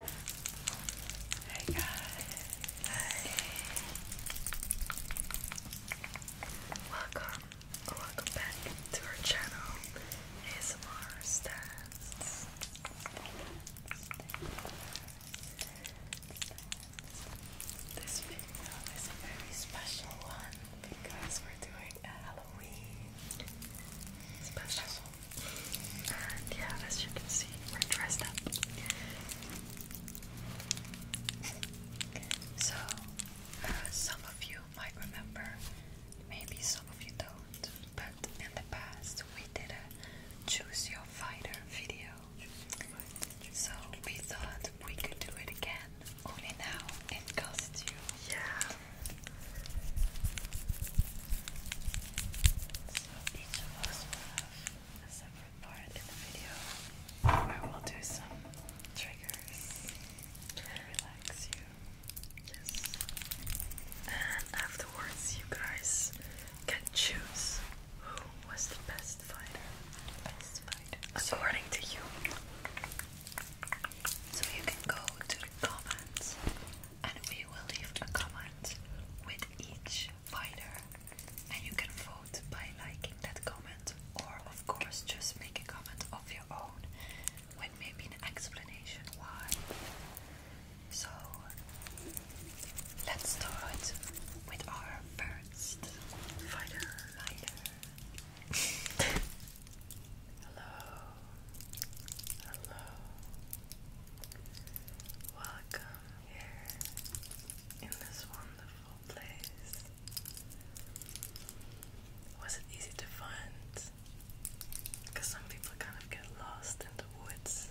Hey guys. Welcome welcome back to our channel ASMR Stands. This video is a very special one because we're doing a Halloween special yeah, as you can see, we're dressed up. So, uh, some of you might remember, maybe some of you don't, but in the past we did a Choose Your Fighter video. So, we thought we could do it again, only now in costume. Yeah. So each of us will have a separate part in the video where will do some triggers to relax you. And afterwards, you guys can choose who was the best fighter. Best fighter. According to you. So you can go to the comments and we will leave a comment with each fighter. And you can vote by liking that comment, or of course, just make a comment of your own with maybe an explanation why. So, let's start with our first fighter. Hello. Hello. Welcome here in this wonderful place. Was it easy to find? Because some people kind of get lost in the woods.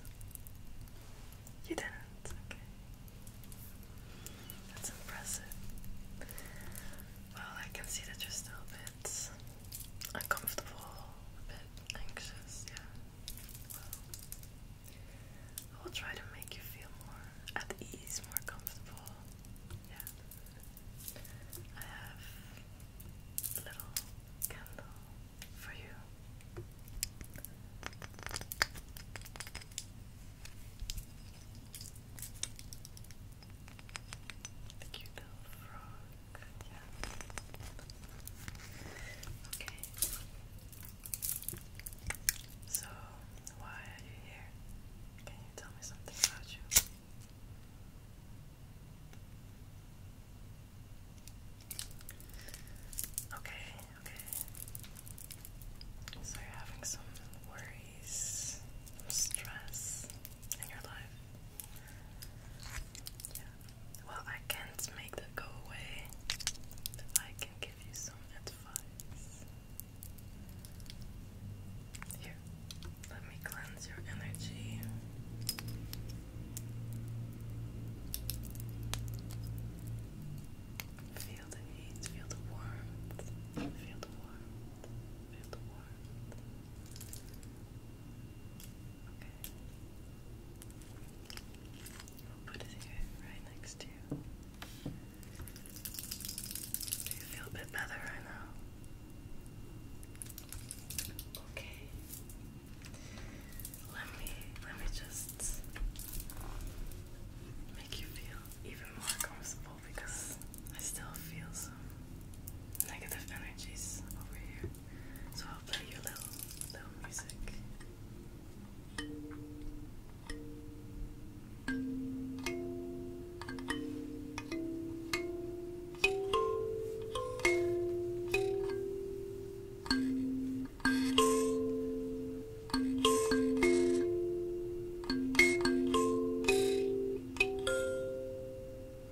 You didn't, okay. That's impressive. Well, I can see that you're still a bit uncomfortable, bit anxious, yeah. Well, will try to make you feel more at ease, more comfortable. Yeah. I have a little candle for you. The cute little Okay. So, why are you here? Can you tell me something about you? Okay, okay. So, you're having some worries, some stress in your life. Yeah, well, I can't make that go away. I can give you some advice. Here, let me cleanse your energy. Feel the heat, feel the warmth, feel the warmth, feel the warmth. Okay. will put it here, right next to you. Do you feel a bit better right now? Okay. Let me let me just make you feel even more comfortable because I still feel some negative energies over here. So I'll play your little little music.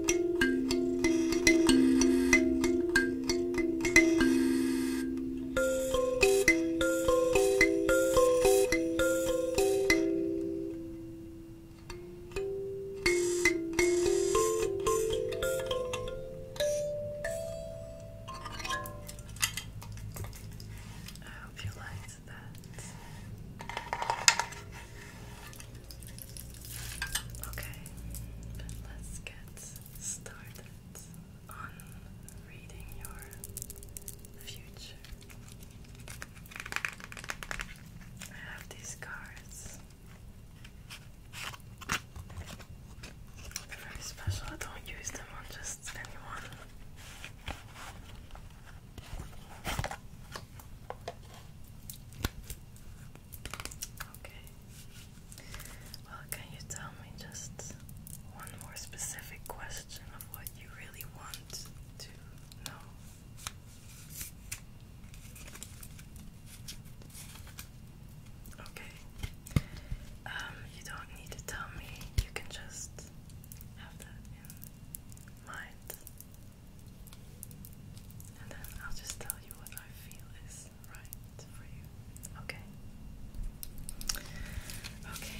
I hope you liked that. Okay, but let's get started on reading your future. I have these cards. very special. don't use them on just anyone. Okay. Well, can you tell me just one more specific question of what you really want to know? Okay. Um, you don't need to tell me. You can just have that in mind. And then I'll just tell you what I feel is right for you. Okay. Okay.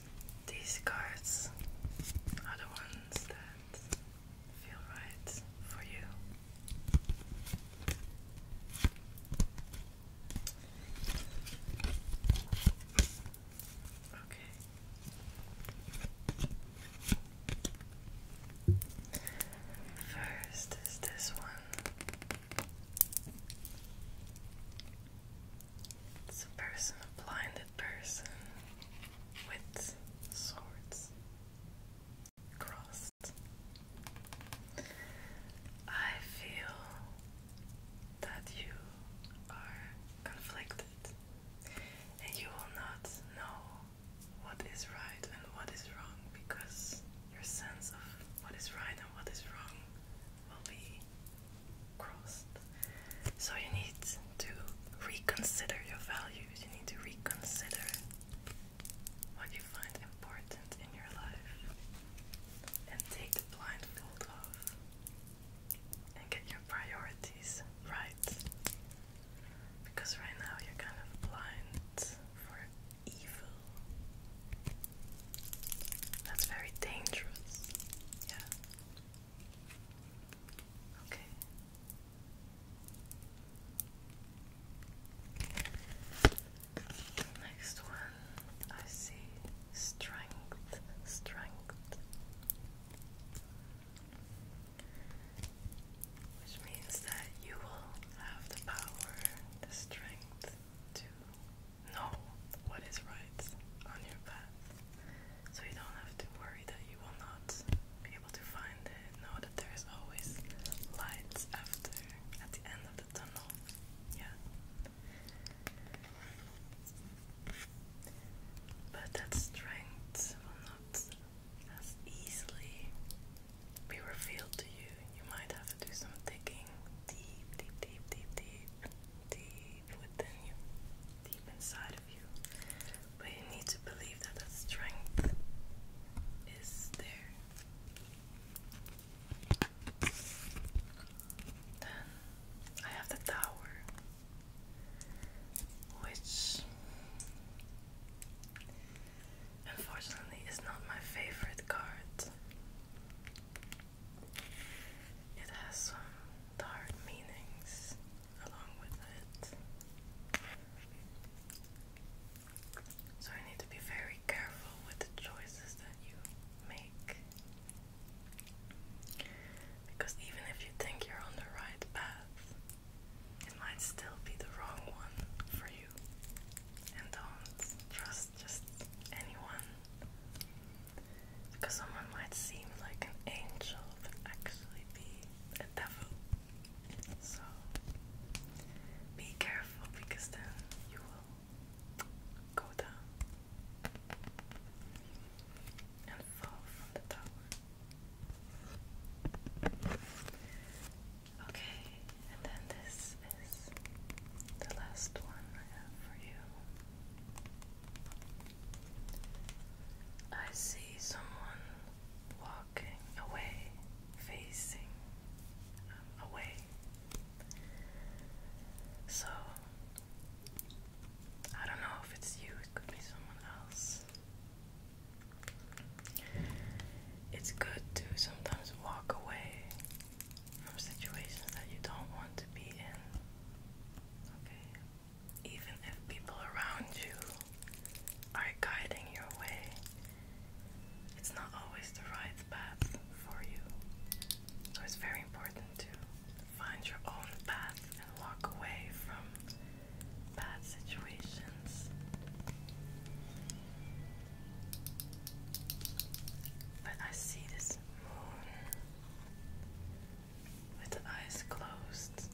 These cards are the ones that feel right for you. Okay. First is this one. It's a person, a blinded person with swords crossed. I feel that you are conflicted and you will not know what is right and what is wrong because your sense of what is right and what is wrong will be crossed. So you need to reconsider your values, you need to reconsider what you find important in your life and take the blindfold off and get your priorities right. Because right now you're kind of blind for evil. That's very dangerous. Yeah. Okay. Next one, I see strength, strength, which means that you will have the power, the strength to know what is right on your path. So you don't have to worry that you will not be able to find it. Know that there is always lights after, at the end of the tunnel. Yeah. But that strength will not as easily be revealed to you. You might have to do some digging deep, deep, deep, deep, deep, deep deep within you, deep inside of you. But you need to believe that that strength is there. Then I have the tower, which unfortunately is not my favorite card. It has some dark meanings along with it. So you need to be very careful with the choices that you make. Because even if you think you're on the right path, it might still be the wrong one for you. And don't trust just anyone because someone might seem like an angel, but actually be a devil. So be careful because then you will go down and fall from the tower. Okay, and then this is the last one I have for you. I see someone walking away, facing um, away. So, I don't know if it's you, it could be someone else. It's good to sometimes walk away from situations that you don't want to be in. Okay. Even if people around you are guiding your way, it's not always the right path for you. So it's very important to find your own path and walk away from bad situations. But I see this moon with eyes closed.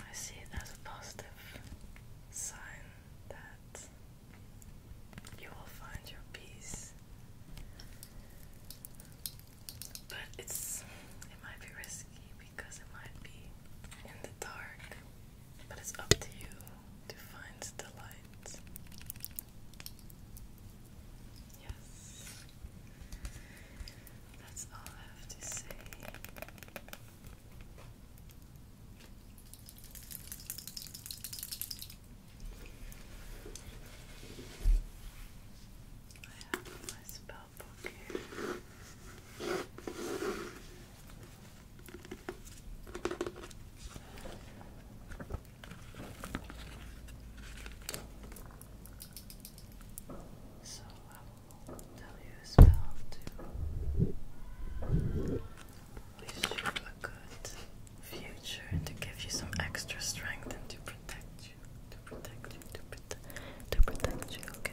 I see it as a positive sign that you will find your peace. But it's it might be risky because it might be in the dark. But it's up to you defines the light. Yes, that's all I have to say. I have my spell here. So I will tell you a spell to wish you a good future and to give you some extra strength and to protect you, to protect you, to protect, you. Okay.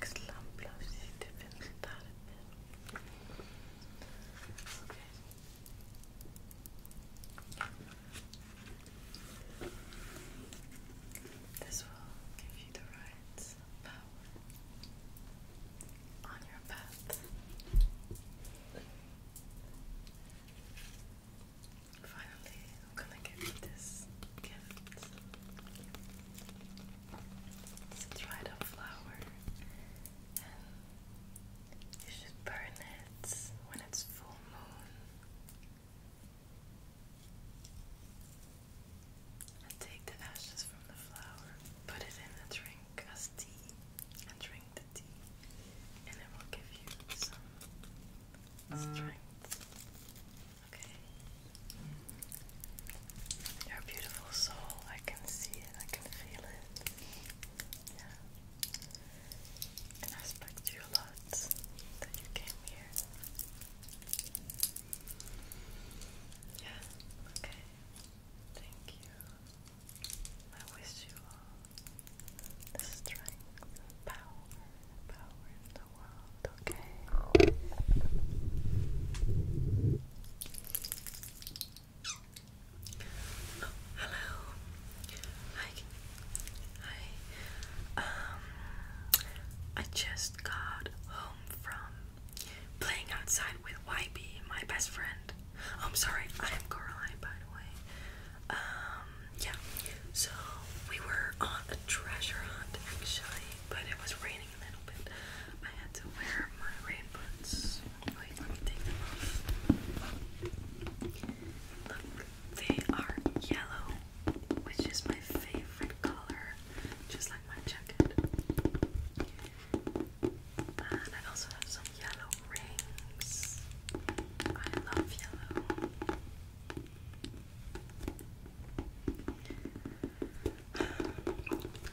Klamp This will give you the right power on your path. Finally, I'm gonna get this gift. It's a dried up flower, and you should burn it when it's full moon. And take the ashes from the flower, put it in the drink as tea, and drink the tea, and it will give you some mm. strength. Okay. beautiful soul. I can see it. I can feel it. Yeah. And I respect you a lot that you came here. Yeah. Okay. Thank you. I wish you all strength, power, power, Oh, hello. Hi. Hi. Um, I just got home from playing outside with YB, my best friend. Oh, I'm sorry. I am Coraline, by the way. Um, yeah, so we were on a treasure hunt actually, but it was raining a little bit. I had to wear my rain boots. Wait, let me take them off. Look, they are yellow, which is my favorite color, just like my jacket. And I also have some yellow rings. I love yellow.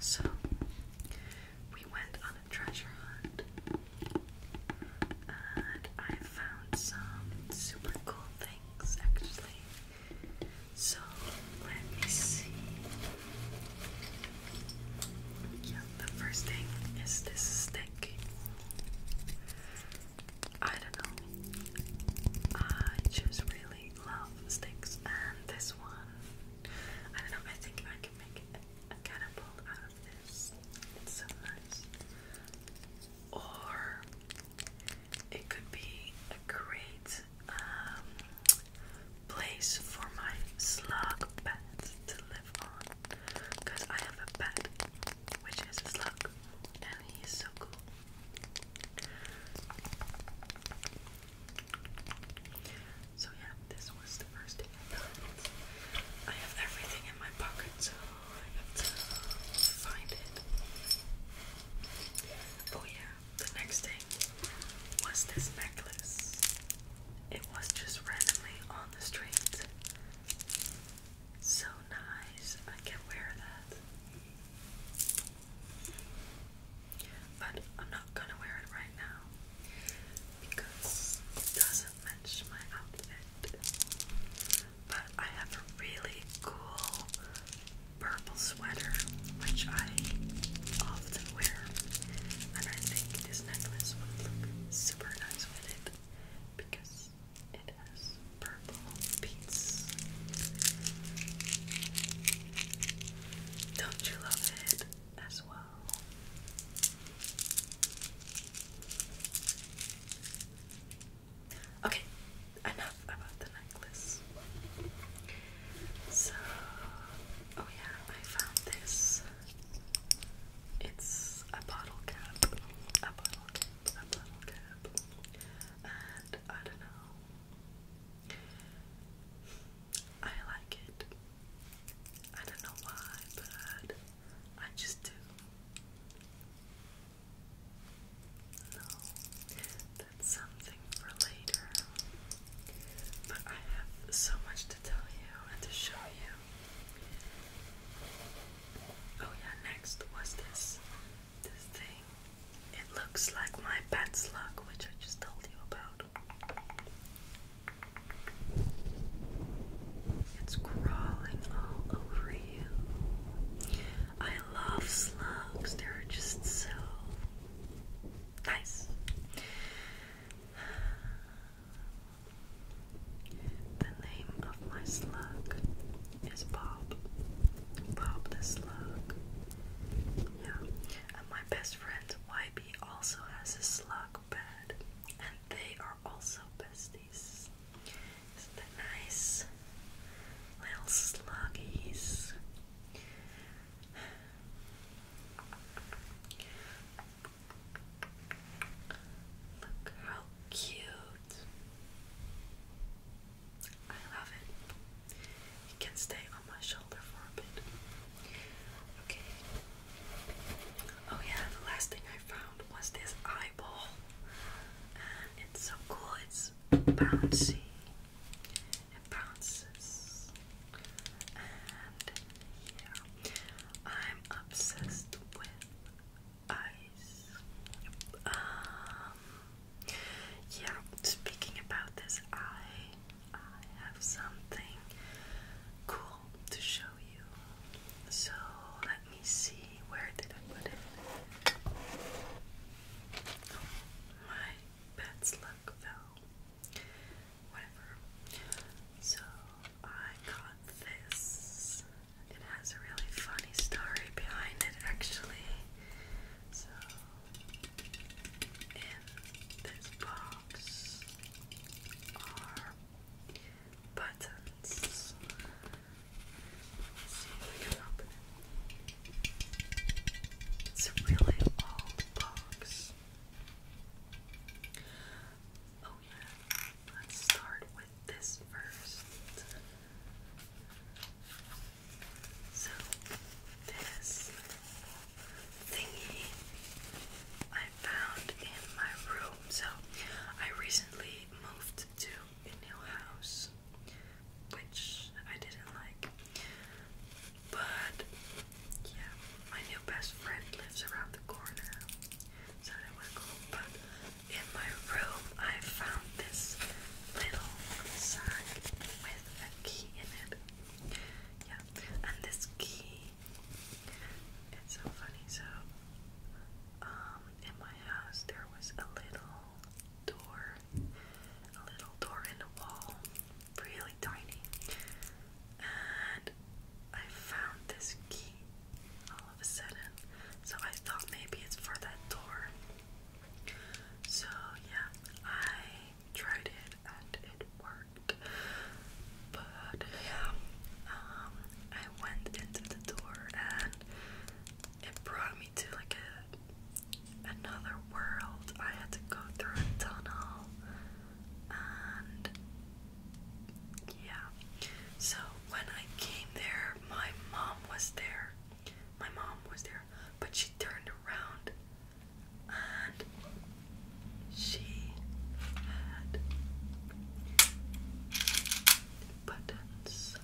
So we went on a treasure hunt and I found some super cool things actually. So let me see. Yeah, the first thing is this stick. I don't know. I just really love sticks, and this one, I don't know. I think I can make a, a catapult out of this. It's so nice. Or it could be a great um, place for my slug pet to live on, because I have a pet which is a slug, and he's so cool. So yeah, this was the first thing I have everything in my pocket, so I have find it. Oh yeah, the next thing was this necklace. It was just randomly on the street. So nice. I can wear that. But I'm not gonna wear it right now because it doesn't match my outfit. But I have a really cool purple sweater which I often wear, and I think this necklace would look super nice with it because it has purple beets. Don't you love it as well? Okay, enough about the necklace. So, oh yeah, I found this. It's a bottle cap. A bottle cap a I don't know. I like it. I don't know why, but I just do. No, that's something for later. But I have so much to tell you and to show you. Oh, yeah, next was this this thing. It looks like my bat slug, which I just told you about. It's crawling all over you. I love slugs, they're just so nice. The name of my slug is Bob. Bob the Slug. Yeah. And my best friend YB also has a slug bed. And they are also besties. is nice? Little sluggies. Look how cute. I love it. It can stay on my shoulder for a bit. Okay. Oh yeah, the last thing I found was this eyeball. And it's so cool, it's bouncy. It bounces. And yeah. I'm obsessed with eyes. Um, yeah, speaking about this, I, have something cool to show you. So let me see, where did I put it? my pet's luck fell. Whatever. So I got this it has a really funny story behind it, actually. So, in this box are buttons. let we can open it. It's a really old box. Oh, yeah. Let's start with this first. So this thingy I found in my room. So I recently moved to a new house, which I didn't like. But yeah, my new best friend lives around the corner, so that was cool. But in my room, I found this little sack with a key in it. Yeah, and this key, it's so funny. So, um, in my house, there was a little door, a little door in the wall, really tiny, and I found this key all of a sudden. So I thought maybe it's for that door. So yeah, I tried it and it worked. But yeah, um, I went into the door and it brought me to like a another world. I had to go through a tunnel and yeah. So when I came there, my mom was there. My mom was there. But she turned around and she had buttons, buttons,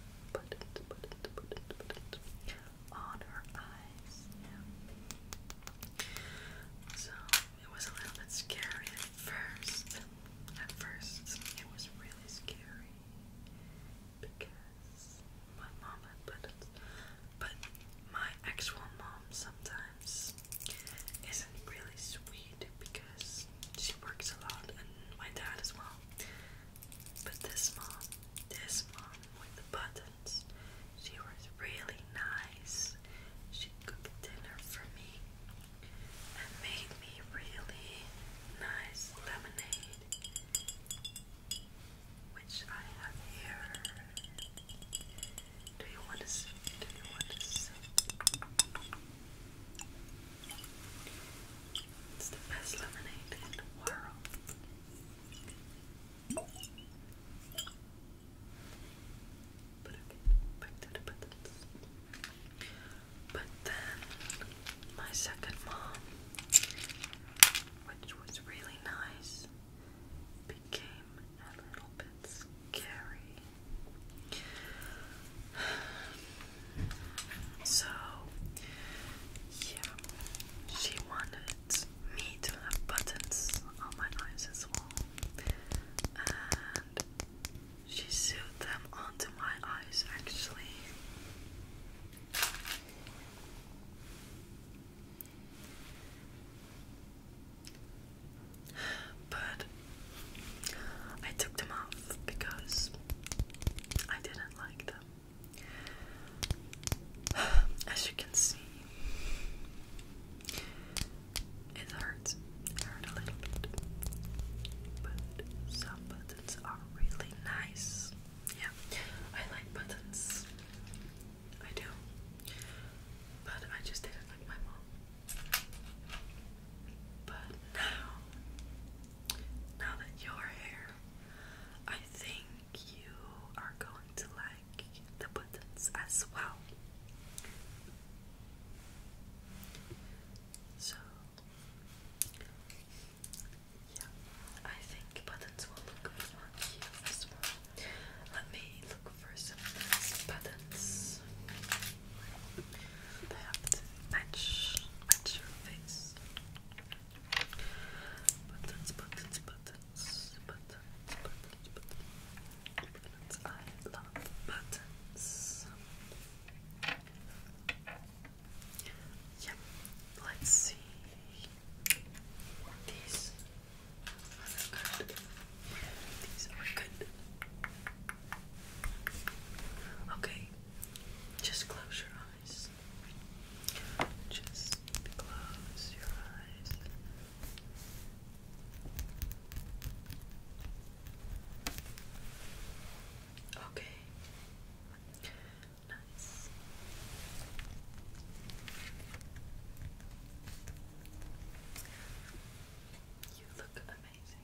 buttons, buttons, on her eyes. So it was a little bit scary at first. At first, it was really scary because my mom had buttons, but my actual mom sometimes isn't really sweet because she works a lot, and my dad as well. But this mom, this mom with the buttons, she was really nice. She cooked dinner for me and made me really nice lemonade, which I have here. Do you want to see? Do you want to see? It's the best lemonade in the world. But okay, back to the buttons. But then my second mom, which was really nice, became a little bit scary. So, yeah, she wanted me to have buttons on my eyes as well. And she sewed them onto my eyes, actually. But I took them off because I didn't like them. As you can see, it hurts. It hurt a little bit. But somebody buttons are really nice. Yeah, I like buttons. I do. But I just didn't like my mom. But now, now that your hair, I think you are going to like the buttons as well. So yeah, I think buttons will look good on you Let me look for some buttons that have to match, match your face. Buttons, buttons, buttons, buttons, buttons, buttons. buttons. I love buttons let's see. These are good. These are good. Okay, just close your eyes. Just close your eyes. Okay. Nice. You look amazing.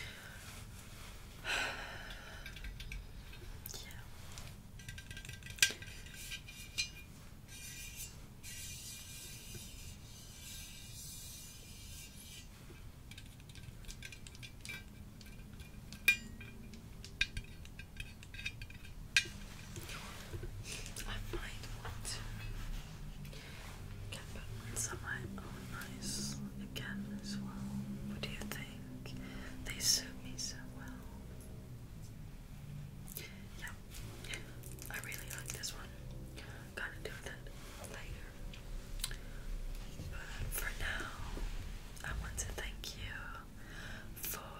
yeah. I might want to get back on somewhere oh nice again as well. What do you think? They suit me so well. Yeah, I really like this one gonna do that later. But for now, I want to thank you for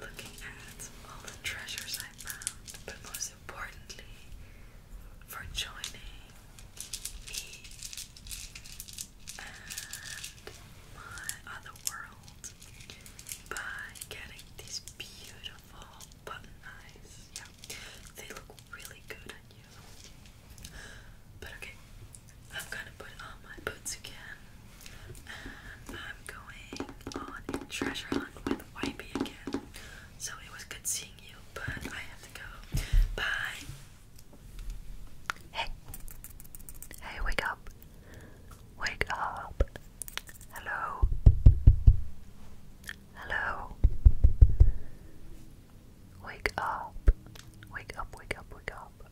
looking at all the treasures I found, but most importantly, for joining me and my other world by getting these beautiful button eyes. Yeah, they look really good on you. But okay, I'm gonna put on my boots again, and I'm going on treasure hunt with Wipey again. So it was good seeing you, but I have to go. Bye. Hey, hey, wake up, wake up. Hello. Hello. Wake up. Wake up, wake up, wake up.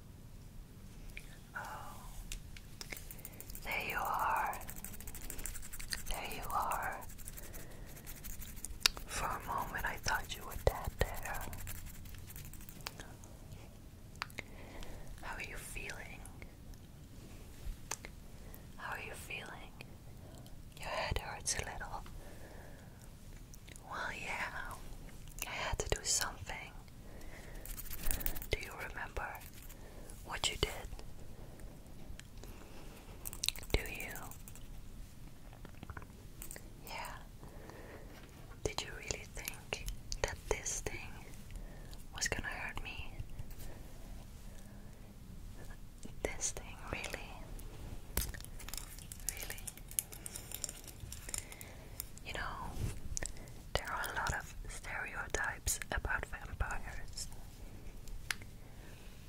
Oh. There you are. There you are. For a moment I thought you were dead there. How are you feeling? How are you feeling? Your head hurts a little. Well, yeah, I had to do something. Do you remember what you did? Do you? Yeah. Did you really think that this thing was gonna hurt me? this thing really, really, you know, there are a lot of stereotypes about vampires.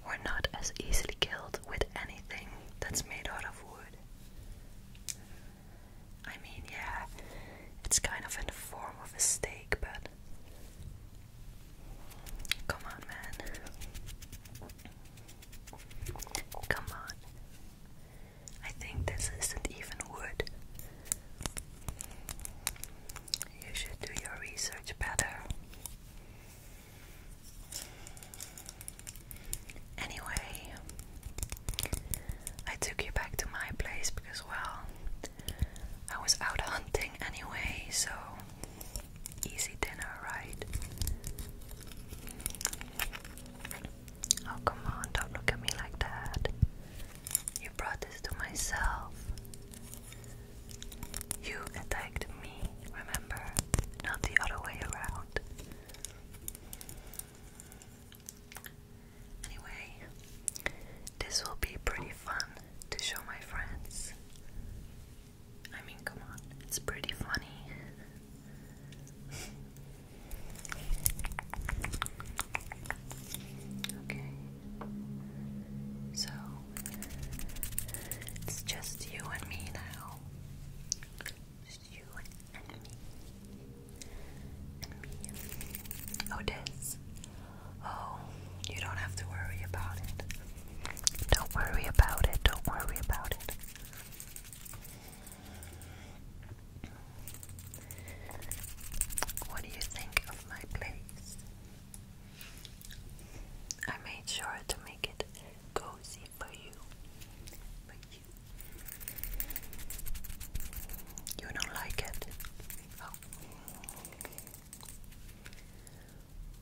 We're not as easily killed with anything that's made out of wood. I mean, yeah, it's kind of in the form of a steak, but Come on, man. Come on. I think this isn't even wood. You should do your research better. Anyway, I took you back to my place because, well, I was out hunting anyway, so Easy dinner, right? Oh, come on, don't look at me like that. You brought this to myself. You attacked me, remember? Not the other way around. Anyway, this will be pretty fun to show my friends. I mean, come on, it's pretty funny. okay, so it's just you and me now. Just you and me. me. Otis. Oh, you don't have to worry about it. Don't worry about it. Don't worry about it. What do you think of my place? I made sure to make it cozy for you. But you You don't like it. Oh.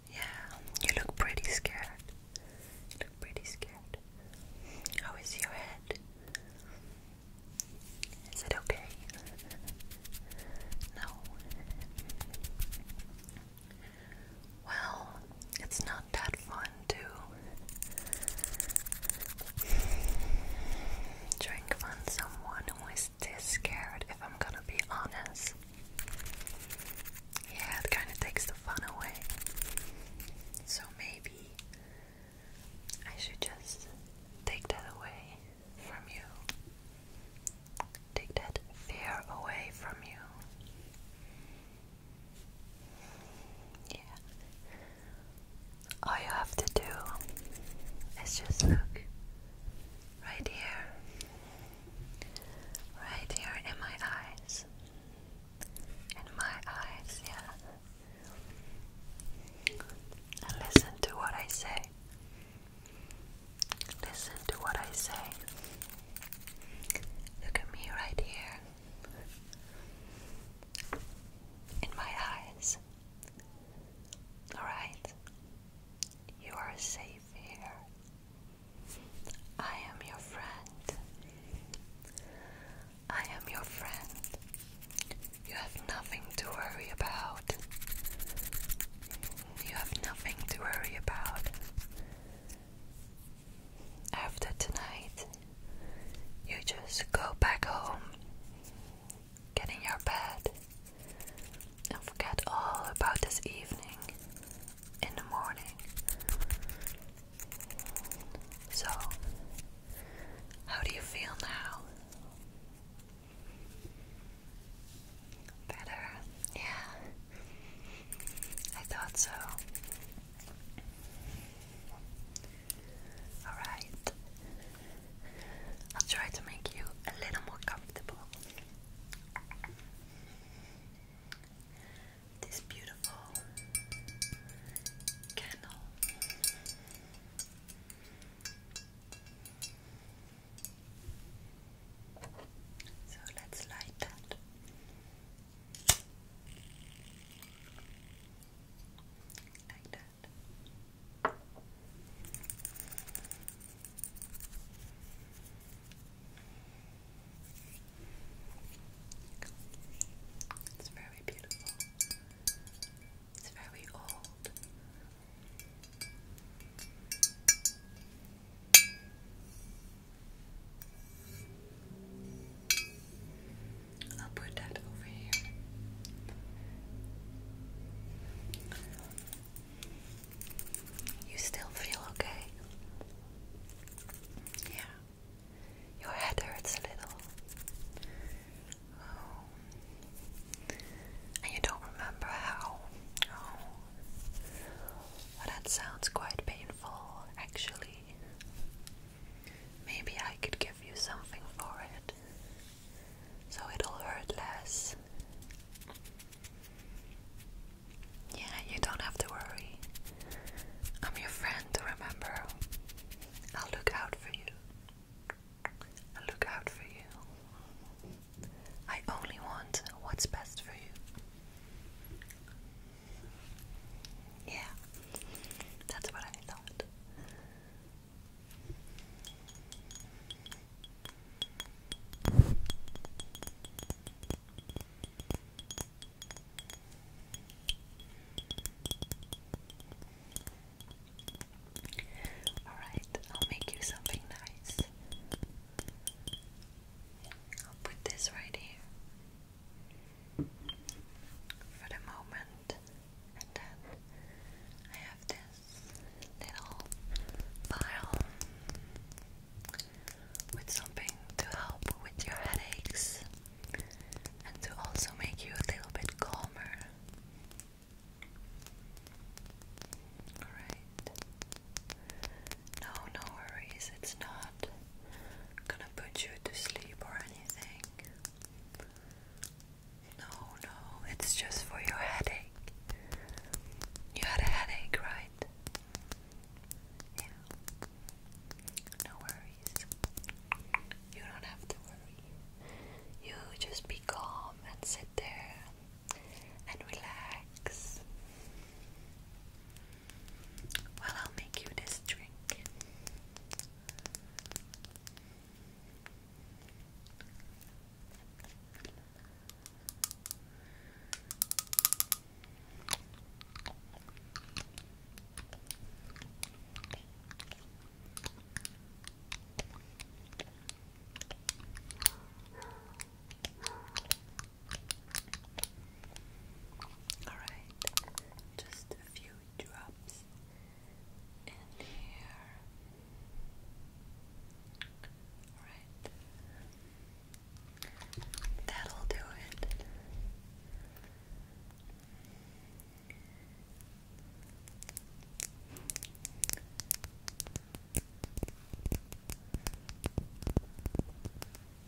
Yeah, you look pretty scared. pretty scared. How is your head? Is it okay? No. Well, it's not that fun to drink on someone who is this scared, if I'm gonna be honest. Yeah, it kind of takes the fun away. So maybe I should just take that away from you. Take that fear away from you. Yeah. All you have to do is just look right here, right here in my eyes, in my eyes, yeah. And listen to what I say. Listen to what I say. Look at me right here. In my eyes. Alright? You are safe here. I am your friend. I am your friend. You have nothing to worry about. You have nothing to worry about. After tonight, you just go back home, get in your bed, and forget all about this evening in the morning. So, how do you feel now? Better, yeah. I thought so. Alright, I'll try to make you a little more comfortable this beautiful candle. So let's light that. Like that. It's very beautiful. It's very old. I'll put that over here. You still feel okay? Yeah. Your head hurts a little. Oh. And you don't remember how? Oh. that sounds quite painful, actually. Maybe I could give you something for it so it'll hurt less. Yeah, you don't have to worry. I'm your friend, remember? I'll look out for you. i look out for you. I only want what's best for you. Yeah, that's what I thought. All right, I'll make you something nice. I'll put this right here for the moment, I have this little pile with something to help with your headaches and to also make you a little bit calmer. Alright. No, no worries, it's not gonna put you to sleep or anything. No, no, it's just for your headache. You had a headache, right? Yeah. No worries. You don't have to worry. You just be calm and sit there and relax. Well, I'll make you this drink. All right, just a few drops in here. Alright. That'll do it.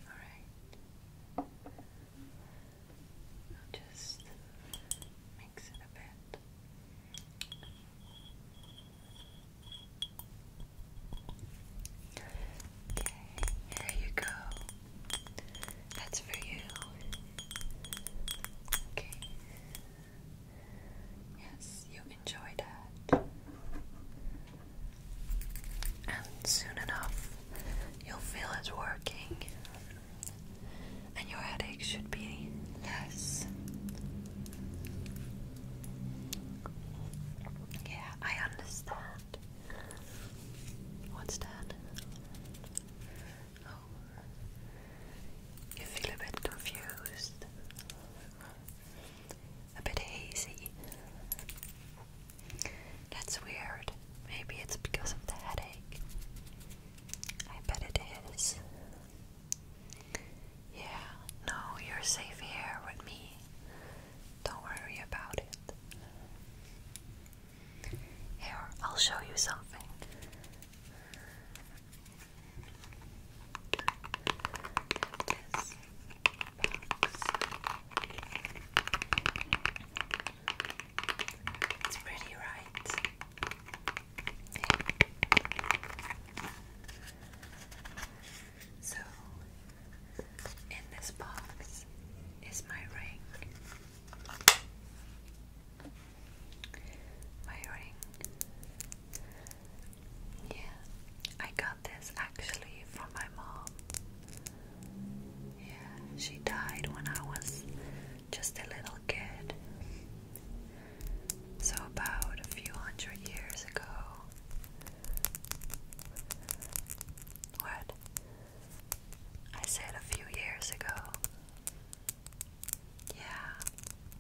Alright. just mix it a bit. Okay, here you go. That's for you. Okay. Yes, you enjoy that. And soon enough, you'll feel it's working. And your headache should be less. Yeah, I understand. What's oh. you feel a bit confused, a bit hazy. That's weird. Maybe it's because of the headache. I bet it is. Yeah, no, you're safe here with me. Don't worry about it. Here, I'll show you something. This it's pretty, right? So, in this box is my ring. My ring. Yeah, I got this actually from my mom. Yeah, she died when I was just a little kid. So, about a few hundred years ago. What? I said a few years ago. Yeah,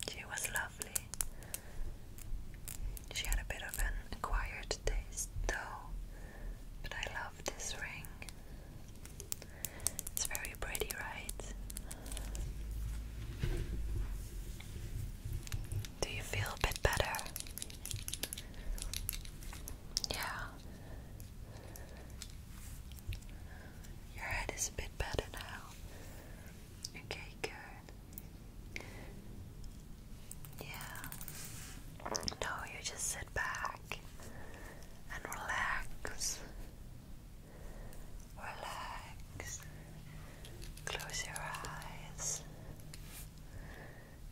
she was lovely. She had a bit of an acquired taste, though, but I love this ring. It's very pretty, right? Do you feel a bit better? Yeah. Your head is a bit better now. Okay, good. Yeah. No, you just sit back and relax. Relax. Close your eyes.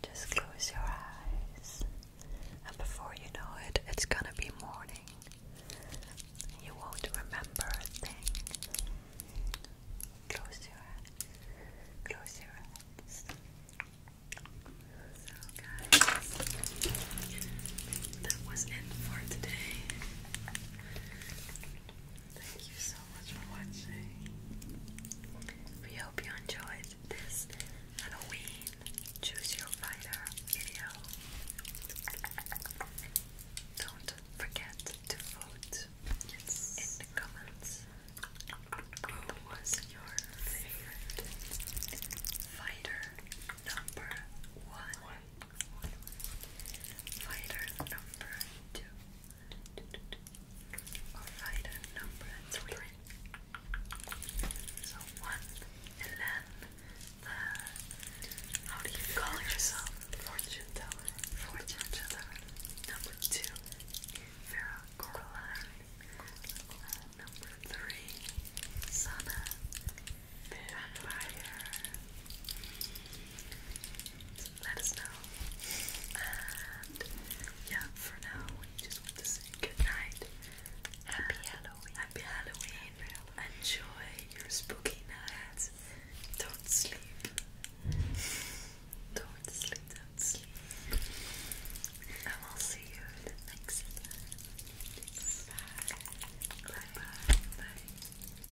Just close your eyes. And before you know it, it's gonna be morning. You won't remember a thing. Close your eyes. Close your eyes. So, guys, that was it for today. Thank you so much for watching. We hope you enjoyed this Halloween Choose Your Fighter video. Don't forget to vote in the comments. Who was your favorite fighter number one? Fighter number two. fighter number three. So one, and then How do you call yourself? Fortune teller. Fortune teller. Number two, Vera Coraline. Number three, Sana. Vampire. So let us know. And yeah, for now, we just want to say good night. Happy Halloween. Happy Halloween. Enjoy your spooky night. Don't sleep. Don't sleep, don't sleep. And we'll see you the next time. Bye.